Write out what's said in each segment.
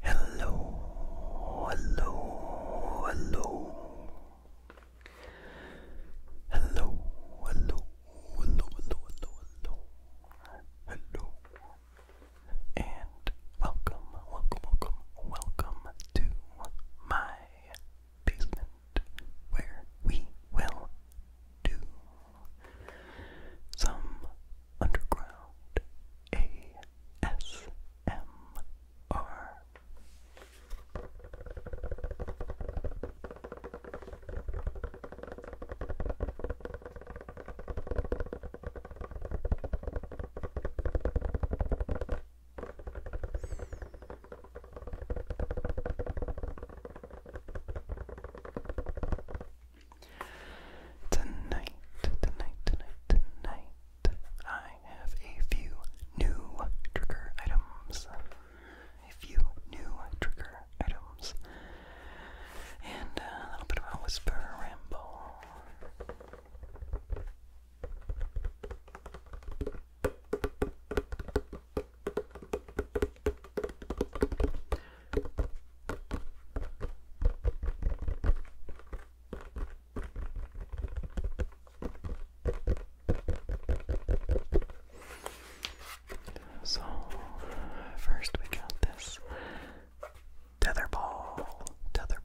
Hello, hello, hello. Hello, hello, hello, hello, hello, And welcome, welcome, welcome, welcome to my basement where we will do some underground ASMR. Tonight, tonight, tonight, tonight, I have a few new trigger items. A few new trigger items. And a little bit of a whisper ramble. So, first we got this tether ball, tether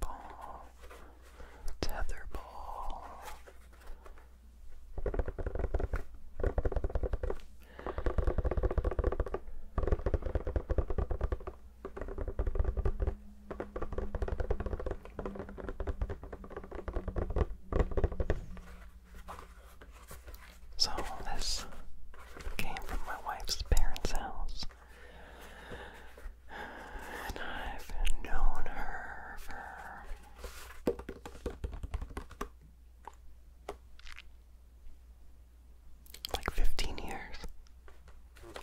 so, this came from my wife's parents' house, and I've known her for like 15 years.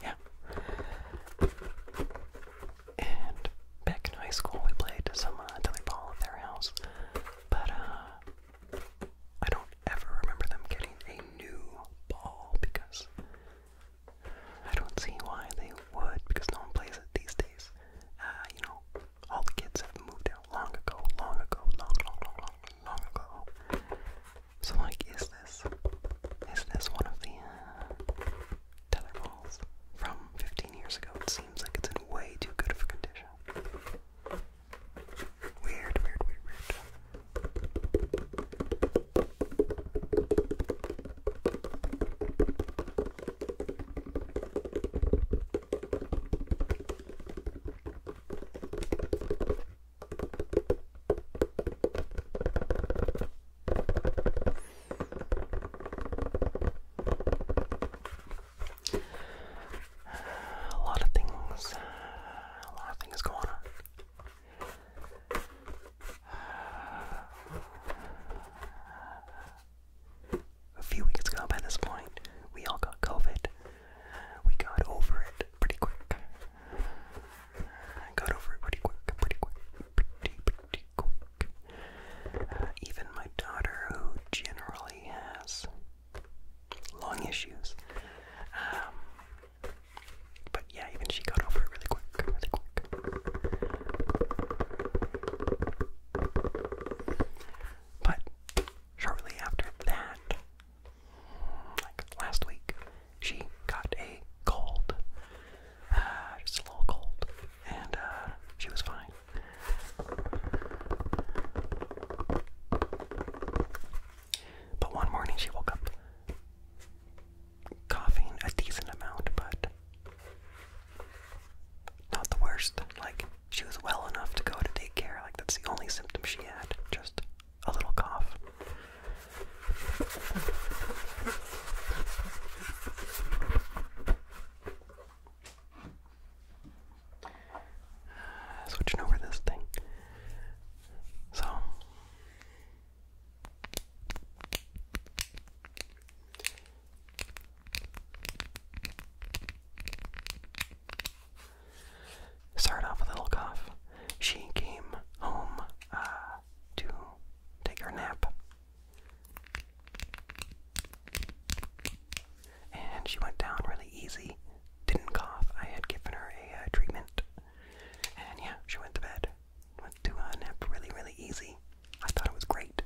Yeah. And back in high school, we played some uh, ball at their house, but uh, I don't ever remember them getting a new ball because I don't see why they would, because no one plays it these days. Uh, you know, all the kids have moved out long ago, long ago, long, long, long, long, long ago. So, like, is this is this one of the uh, tether balls from 15 years ago? It seems like it's in way too good of a condition. Weird, weird, weird, weird. A lot of things, a lot of things going on a few weeks ago by this point. We all got COVID. We got over it pretty quick. got over it pretty quick, pretty quick, pretty, pretty quick. Uh, even my daughter, who generally has long issues, um, but yeah, even she got over it really quick, really quick. But shortly after that, like last week, she got a cold. Uh, just a little cold. And uh, she was fine. But one morning she woke up coughing a decent amount, but not the worst. Like, she was well enough to go to daycare. Like, that's the only symptom she had just a little cough. Switching over this thing. So, Start off with a little cough. She came home uh, to take her nap. And she went down really easy. Didn't cough. I had given her a uh, treatment. And yeah, she went to bed. Went to a uh, nap really, really easy. I thought it was great.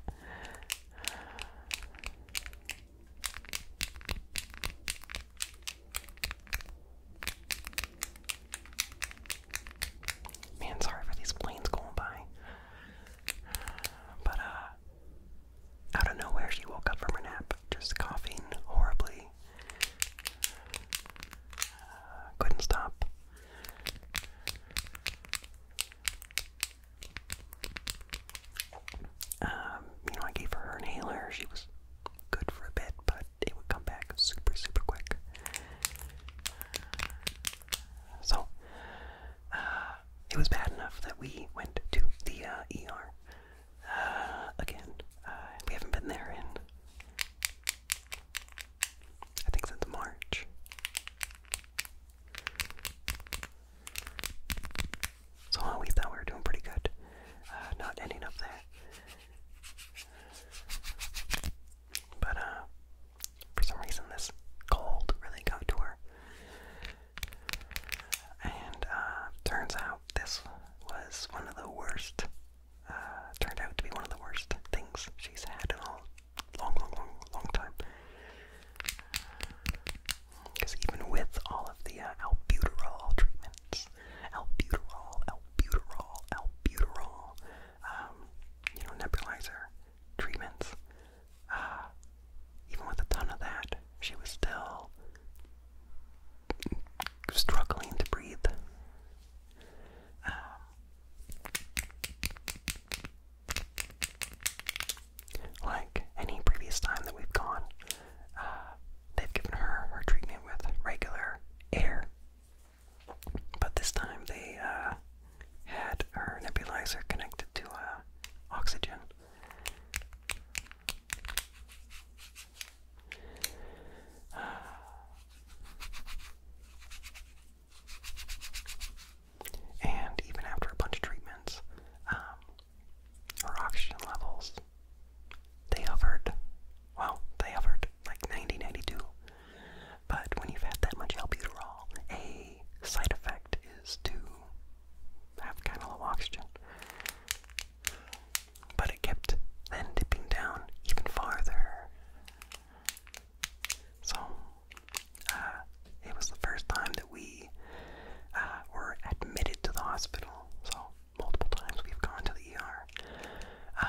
Man, sorry for these planes going by. But, uh, out of nowhere, she woke up from her nap, just coughing horribly. Uh, couldn't stop. Um, you know, I gave her her inhaler. She was good for a bit, but it would come back super, super quick. So, uh, it was bad enough that we went to the ER again. we haven't been there in, I think, since March. So we thought we were doing pretty good. Uh, not ending up there. But uh, for some reason, this cold really got to her. And uh, turns out this was one of the worst, turned out to be one of the worst things she's had in a long, long, long, long time. Because even with all of the uh, albuterol treatments, albuterol, albuterol, albuterol, um, you know, nebulizer treatments, uh, even with a ton of that, she was still struggling to breathe. Um, like any previous time that we've gone, uh, they've given her her treatment with regular air. But this time they uh, had her nebulizer connected to uh, oxygen. and even after a bunch of treatments, um, or oxygen levels, they hovered. Well, they hovered like 90, But when you've had that much albuterol, a side effect is to have kind of low oxygen. But it kept then dipping down even farther. So, uh, it was the first time that we uh, were admitted to the hospital. So multiple times we've gone to the ER.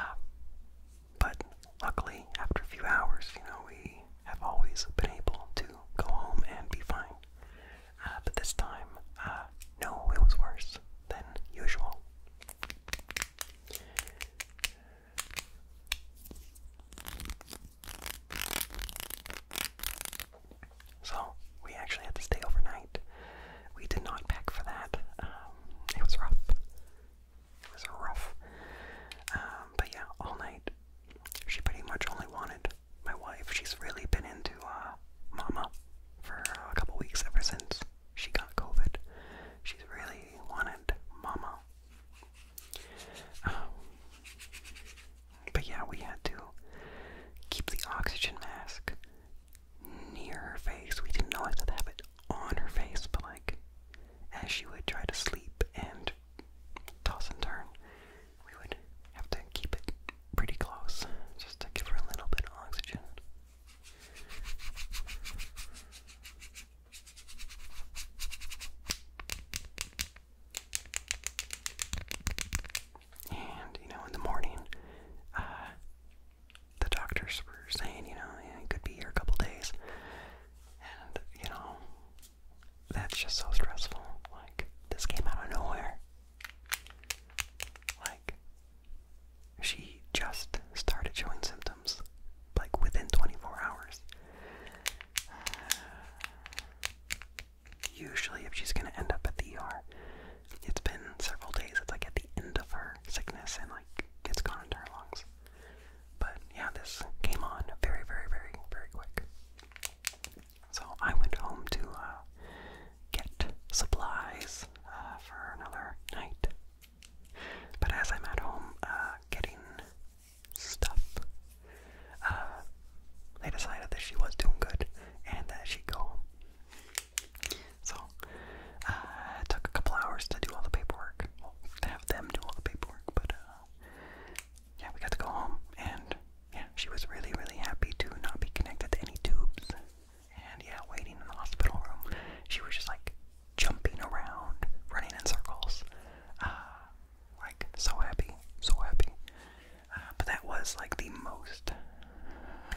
but luckily, after a few hours, you know, we have always been able to go home and be fine. Uh, but this time, no, it was worse than usual. So we actually had to stay overnight. We did not pack for that. Um, it was rough. It was rough. Um, but yeah, all night. She pretty much only wanted my wife. She's really been into uh, Mama for a couple weeks ever since she got COVID. She's really wanted Mama. Um, but yeah, we had to keep the oxygen mask near her face. We didn't know have to have it on her face, but like as she would try to sleep and toss and turn, we would have to keep it pretty close just to give her a little bit of oxygen. And, you know, in the morning, uh, the doctors were saying, you know, yeah, it could be here a couple days. And, you know, that's just so stressful. Like, this came out of nowhere. Like, she just started showing symptoms, like, within 24 hours. Uh, usually if she's gonna end up at the ER. It's been several days, it's like at the end of her sickness and like it's gone into her lungs. But yeah, this came on very, very, very, very quick. So I went home to uh, get supplies uh, for another night. But as I'm at home uh, getting stuff uh, they decided that she was doing good and that she'd go home. So, uh, took a couple hours to do all the paperwork. to have them do all the paperwork, but uh, yeah, we got to go home, and yeah, she was really, really happy to not be connected to any tubes. And yeah, waiting in the hospital room, she was just like jumping around, running in circles, uh, like so happy, so happy. Uh, but that was like the most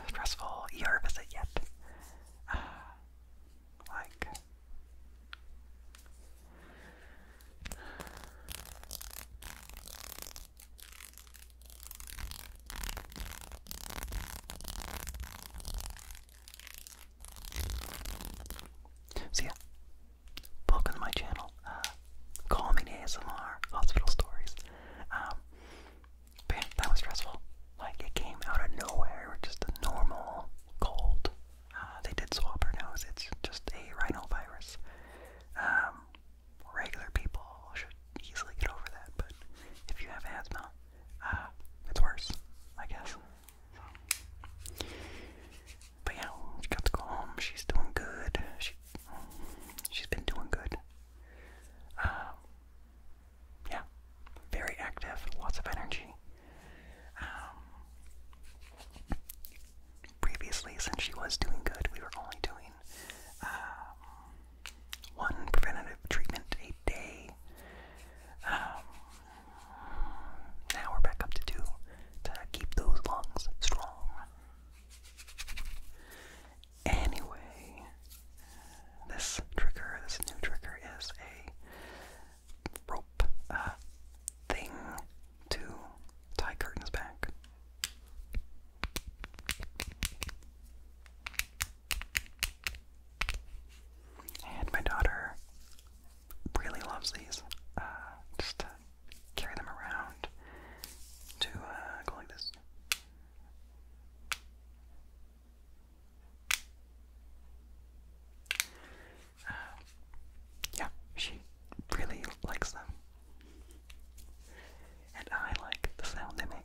stressful ER visit yet. Uh, like, welcome to my channel. Uh, calming ASMR, hospital stories. Um, that was stressful. Like it came out of nowhere, just a normal cold. Uh, they did swab her nose. It's just a rhinovirus. Um, regular people should easily get over that, but if you have asthma, uh, it's worse, I guess. But yeah, she got to go home. She's doing good. She, she's been doing good. Um, yeah, very active, lots of energy. Um, previously, since she was doing good, we were only doing um, one preventative treatment a day. now we're back up to two to keep those lungs strong. Anyway, this trigger, this new trigger, is a rope uh, thing to tie curtains back. And my daughter really loves these. Uh, just carry them around to uh, go like this. Uh, yeah, she really likes them. And I like the sound they make.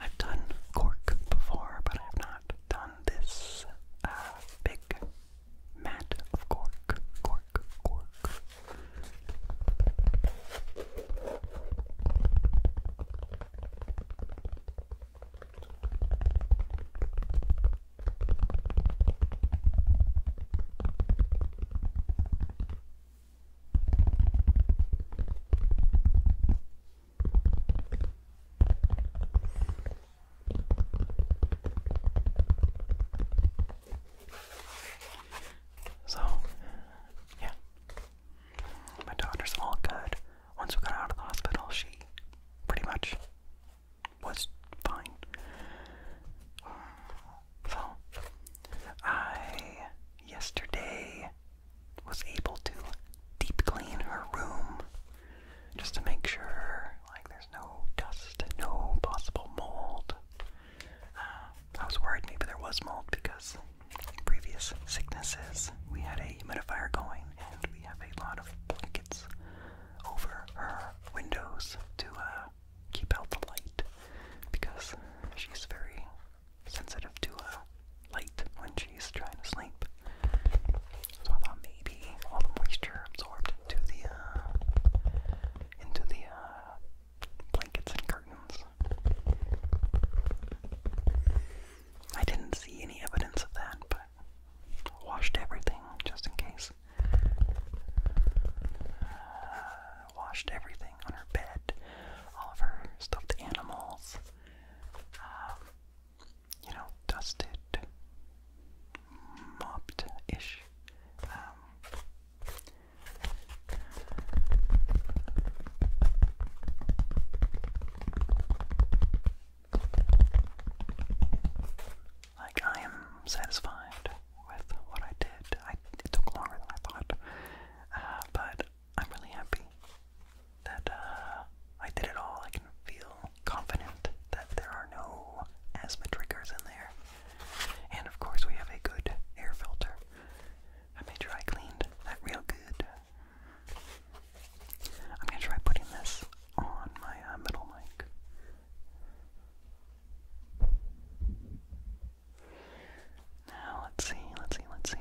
I've done cork before, but I've not done this uh, big mat of cork. Cork, cork. So, yeah. My daughter's all good. Once we got out of the hospital, she pretty much was fine. So, I yesterday was able to deep clean her room just to make sure like there's no dust, no possible mold. Uh, I was worried maybe there was mold because previous sicknesses we had a humidifier going and we have a lot of blankets over her windows to uh, keep out the light because she's very sensitive to light when she's trying to sleep. So I thought maybe all the moisture absorbed into the uh, into the uh, blankets and curtains. I didn't see any evidence of that, but washed everything just in case. Uh, washed everything on her bed, all of her stuffed animals, um, you know, dusted, mopped-ish. Um, like I am satisfied with what I did. it took longer than I thought, uh, but I'm really happy that uh, I did it all. I can feel confident that there are no asthma triggers in there. And of course, we have a good air filter. I made sure I cleaned that real good. I'm gonna try putting this on my uh, middle mic. Now let's see, let's see, let's see.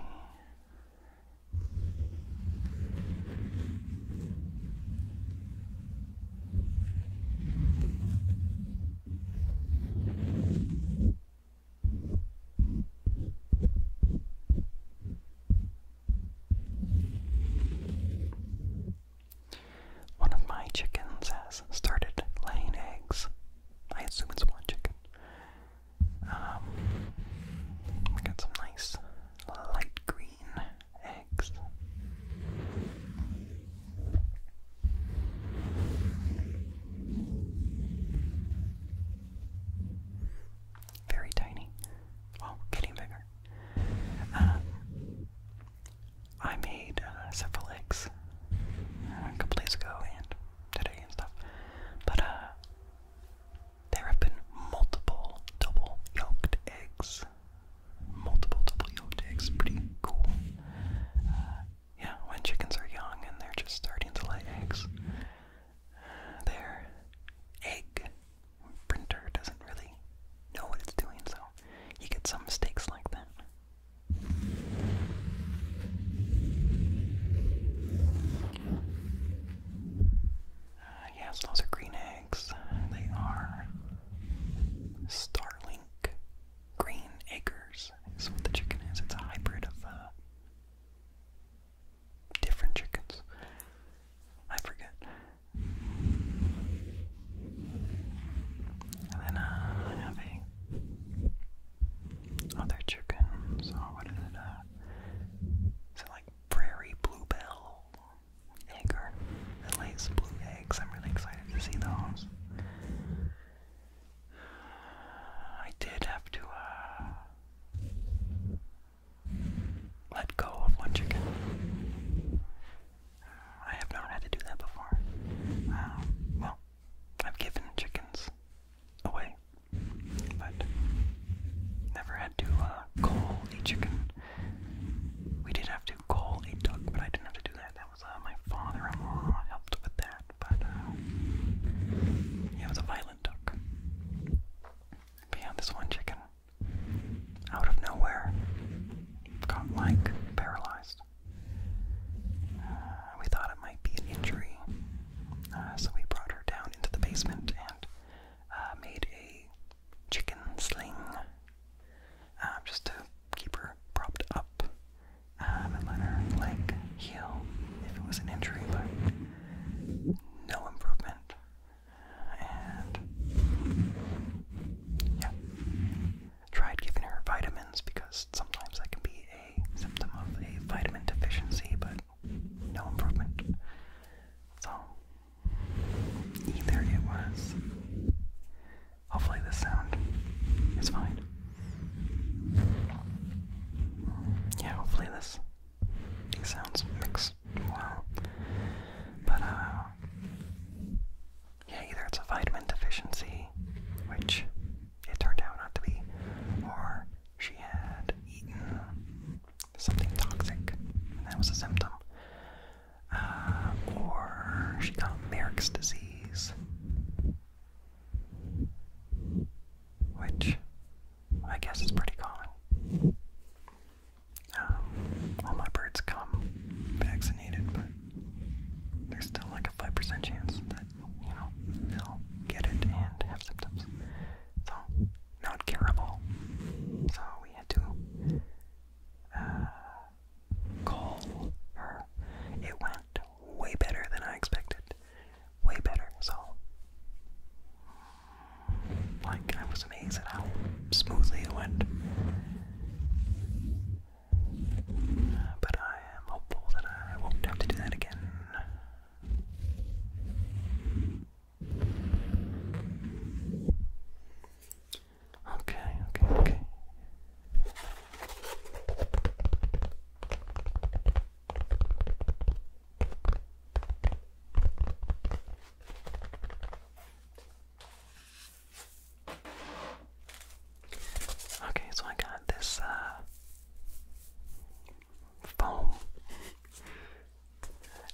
One of my chickens has started laying eggs. I assume it's one chicken. Um, we got some nice light green eggs. Very tiny. Oh, getting bigger. Um, I made uh, several eggs uh, a couple days ago and today and stuff, but uh, there have been multiple double yolked eggs. Multiple double yolked eggs, pretty cool. Uh, yeah, when chickens are young and they're just starting to lay eggs, their egg printer doesn't really know what it's doing, so you get some mistakes like that. Uh, yes, those are green eggs. They are Starlink Green Acres. Is what the chicken is. It's a hybrid of uh, different chickens. I forget. And then uh, I other chickens, or oh, what is it, uh, it like prairie bluebell egg or lays blue eggs? I'm really excited to see those. I did have to, uh, let go of one chicken. I have never had to do that before. Um, well, I've given chickens away but never had to uh, call chicken. We did have to call a duck, but I didn't have to do that. That was uh, my father in helped with that, but uh, it was a violent duck. But this one chicken, out of nowhere, got like paralyzed. Uh, we thought it might be an injury, uh, so we brought her down into the basement and uh, made a chicken sling uh, just to keep her propped up um, and let her leg heal if it was an injury, but no improvement. And yeah, tried giving her vitamins because sometimes that can be a symptom of a vitamin deficiency, but no improvement. So, either it was. Hopefully, this sound is fine. Yeah, hopefully, this. sounds mix well. But, uh, Yeah, either it's a vitamin deficiency, which it turned out not to be, or she had eaten something toxic, and that was a symptom. Uh, or she got Merrick's disease, which I guess is pretty common. Um, all my birds come vaccinated, but there's still like a 5% chance that you know, they'll get it and have symptoms. So, not curable. So, we had to uh, call her. It went way better than I expected. Way better. So, like, I was amazed at how smoothly it went. But I am hopeful that I won't have to do that again. Okay, okay, okay. Okay, so I got this uh, foam.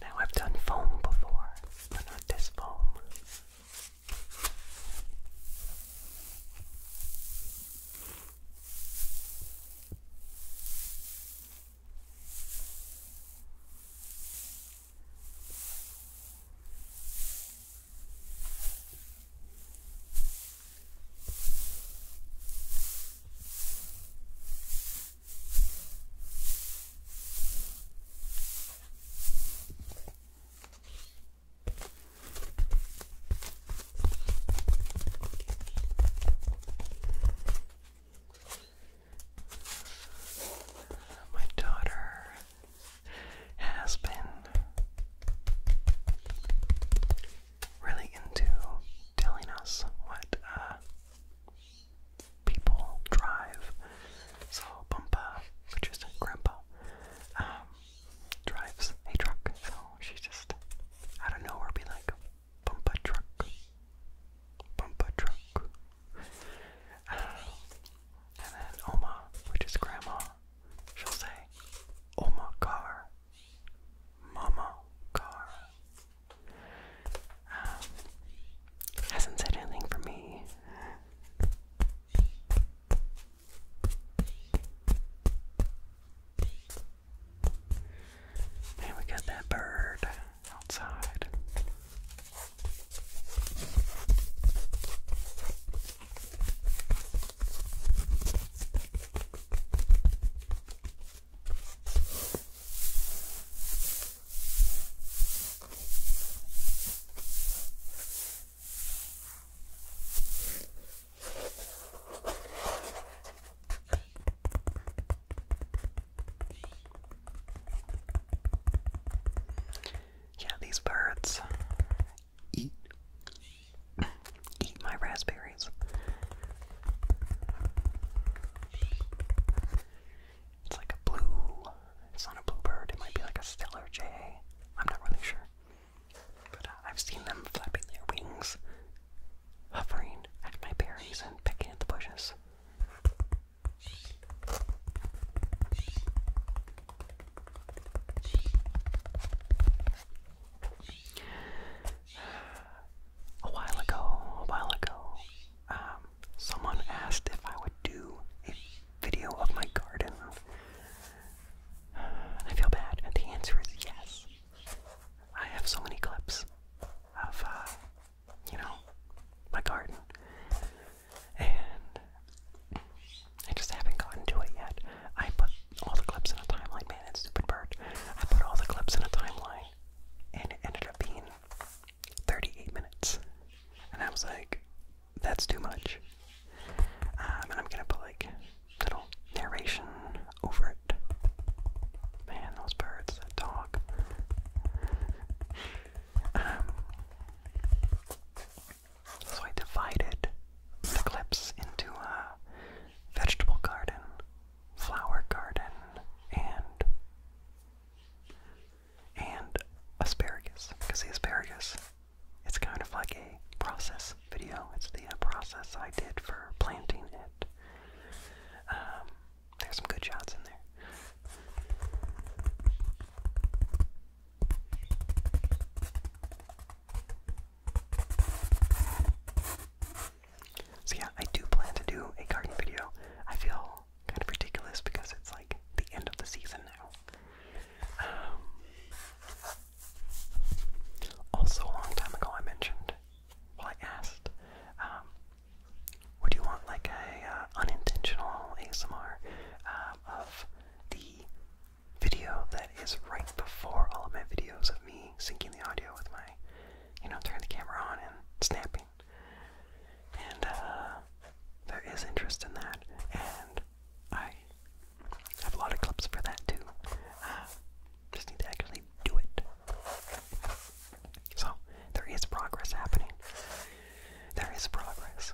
Now I've done foam before, but not this foam. My daughter has been really into telling us what uh, people drive. So, Bumpa, which is Grandpa, um, drives a truck. So, she just, out of nowhere, be like, Bumpa truck. Bumpa truck. Uh, and then Oma, which is Grandma, she'll say, Oma car. Mama Car um, hasn't said anything for me. And we got that bird outside. Yeah, these birds eat Eat my raspberries. It's like a blue. It's not a bluebird. It might be like a stellar jay. I'm not really sure. But uh, I've seen them flapping their wings, hovering at my berries and picking at the bushes a while ago, a while ago, um, someone asked if I would do a video of my garden. Uh, I feel bad, and the answer is yes. I have so many clips of, uh, you know, my garden, and I just haven't gotten to it yet. I put all the clips in a timeline. Man, that stupid bird. I put all the clips in a timeline, and it ended up being 38 minutes. And I was like, that's too much. Um, and I'm gonna put like little narration over it. Man, those birds, that dog. Um, so I divided the clips into uh, vegetable garden, flower garden, and and asparagus. Because the asparagus, it's kind of like a process video. It's the uh, process I did for planting it. Um, there's some good shots in there. So yeah, I do plan to do a garden video. I feel kind of ridiculous because it's like the end of the season now. Um, also, a long time ago, I mentioned, well, I asked, um, would you want like a uh, unintentional ASMR um, of the video that is right before all of my videos of me syncing the audio with my, you know, turning the camera on and snapping. And uh, there is interest in that, and I have a lot of clips for that too. Uh, just need to actually do it. So, there is progress happening. There is progress.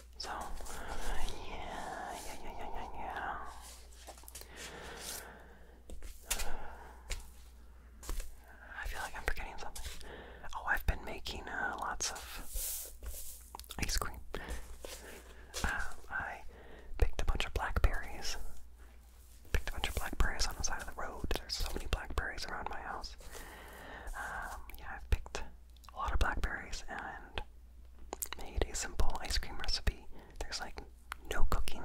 So, uh, yeah, yeah, yeah, yeah, yeah, I feel like I'm forgetting something. Oh, I've been making uh, lots of ice cream. Um, I picked a bunch of blackberries. Picked a bunch of blackberries on the side of the road. There's so many blackberries around my house. Um, yeah, i picked a lot of blackberries and made a simple ice cream recipe. There's like no cooking,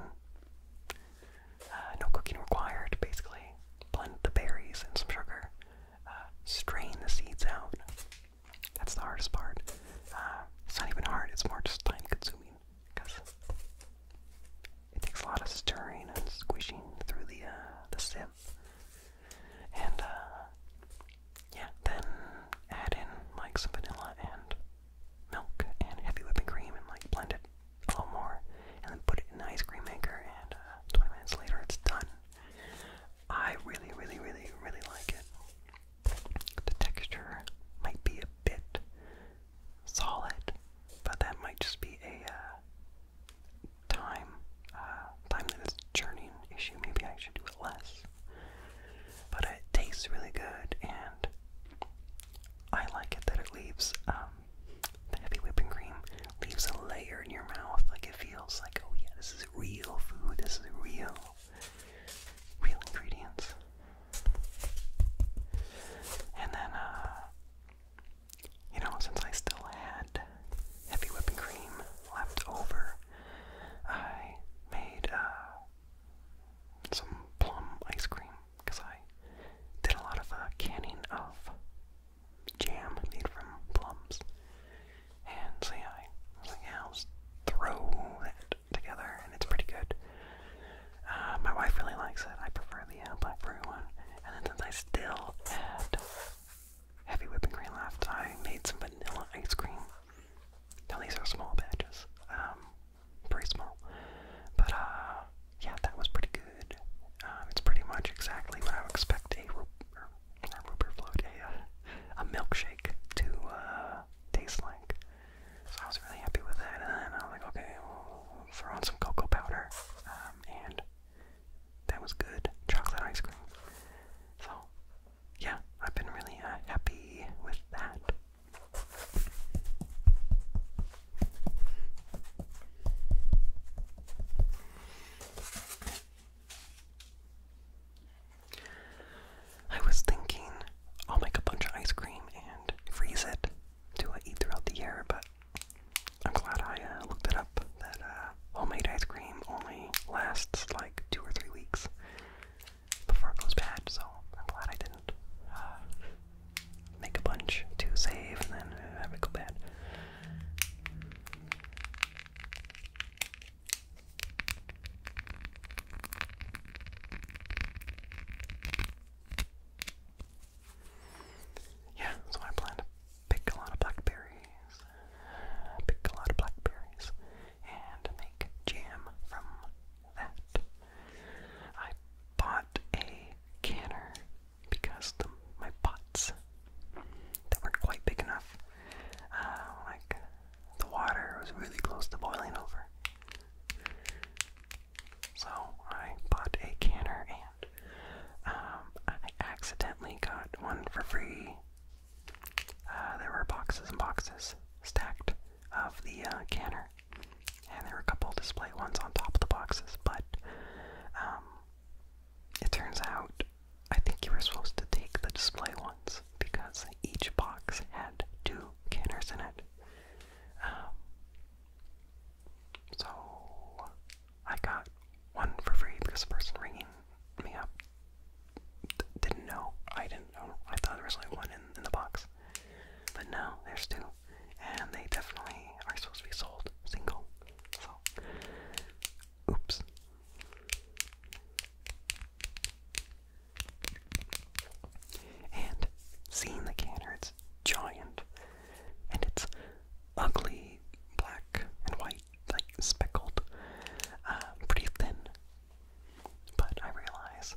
uh, no cooking required basically. Blend the berries and some sugar, uh, strain the seeds out. That's the hardest part. Uh, it's not even hard, it's more just time consuming because it takes a lot of stirring and squishing through the, uh, the sieve. And, uh, yeah, then add in, like, some vanilla and milk and heavy whipping cream and, like, blend it a little more. And then put it in an ice cream maker, and uh, 20 minutes later, it's done. I really, really, really, really like it. The texture might be a bit solid, but that might just be a uh, time, uh, time that is churning issue. Maybe I should do it less. But it tastes really good, and I like it that it leaves um, the heavy whipping cream leaves a layer in your mouth. Like it feels like, oh yeah, this is real food. This is real, real ingredients. And then, uh, you know, since I still had heavy whipping cream left over. I made uh, some plum ice cream because I did a lot of uh, canning of jam made from plums. And so yeah, I was just throw that together, and it's pretty good. Uh, my wife really likes it. I prefer the uh, blackberry one. And then since I still had heavy whipping cream left. I made some vanilla ice cream. Now these are small batches, um, pretty small. But uh, yeah, that was pretty good. Uh, it's pretty much exactly what I would expect a a, uh, a milkshake to uh, taste like. So I was really happy with that, and then I was like, okay, throw in some cocoa powder, um, and that was good chocolate ice cream. So, yeah, I've been really uh, happy with that. I was thinking I'll make a bunch of ice cream and freeze it to uh, eat throughout the year, but I'm glad I uh, looked it up that homemade ice cream only lasts like two or three weeks before it goes bad, so I'm glad I didn't uh, make a bunch to save and then have it go bad. Yeah, that's what I pick a lot of blackberries, pick a lot of blackberries, and make jam from that. I bought a canner because the, my pots that weren't quite big enough, uh, like the water was really close to boiling over. So I bought a canner and um, I accidentally got one for free uh, there were boxes and boxes stacked of the uh, canner, and there were a couple display ones on top of the boxes. But um, it turns out I think you were supposed to take the display ones because each box had two canners in it. Um, so I got one for free because the person ringing me up didn't know. I didn't know. I thought there was only one in, in the box. But no, there's two. And they definitely are supposed to be sold single. So, oops. And seeing the canner, it's giant. And it's ugly black and white like speckled, uh, pretty thin. But I realize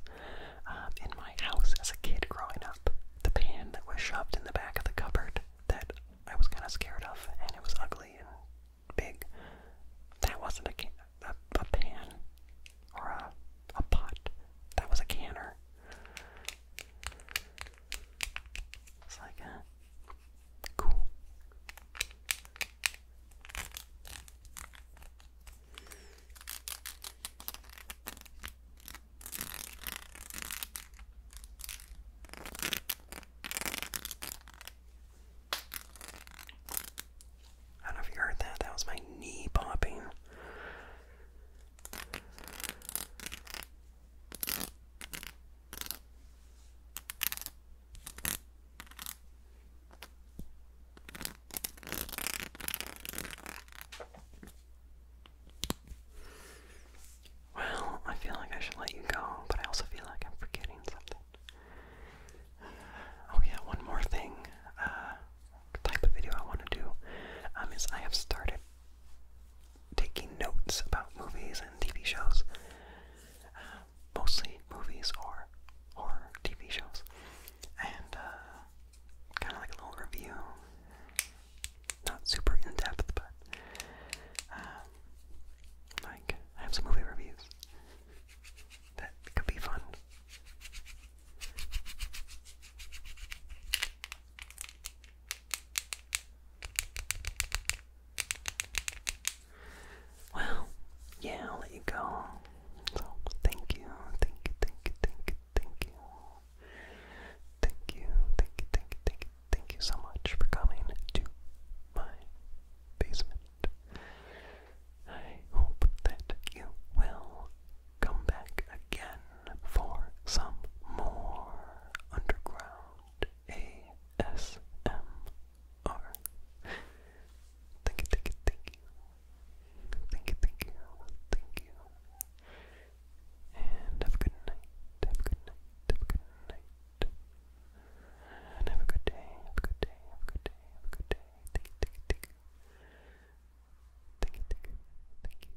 um, in my house as a kid growing up, the pan that was shoved in the back of the cupboard that I was kind of scared of, and it was ugly and big. That wasn't a, can a, a pan or a, a pot. That was a canner. It's like, uh, I don't know if you heard that. That was my knee popping. Well, I feel like I should let you go, but I also feel like I'm forgetting something. Oh yeah, one more thing. Uh, type of video I want to do um, is I have started taking notes about movies and TV shows, uh, mostly movies or horror TV shows, and uh, kind of like a little review. Not super in depth, but uh, like I have some movie reviews that could be fun. Well, yeah, let you go. thank you, thank you, thank you, thank you. Thank you, thank you, thank you, thank you, thank you so much for coming to my basement. I hope that you will come back again for some more underground ASMR. Thank you, thank you, thank you. Thank you, thank you, And have a good night, have a good night, have a good night. have a good day, have a good day, have a good day, have a good day. Thank you, thank you, thank you. Thank you, thank you, thank you.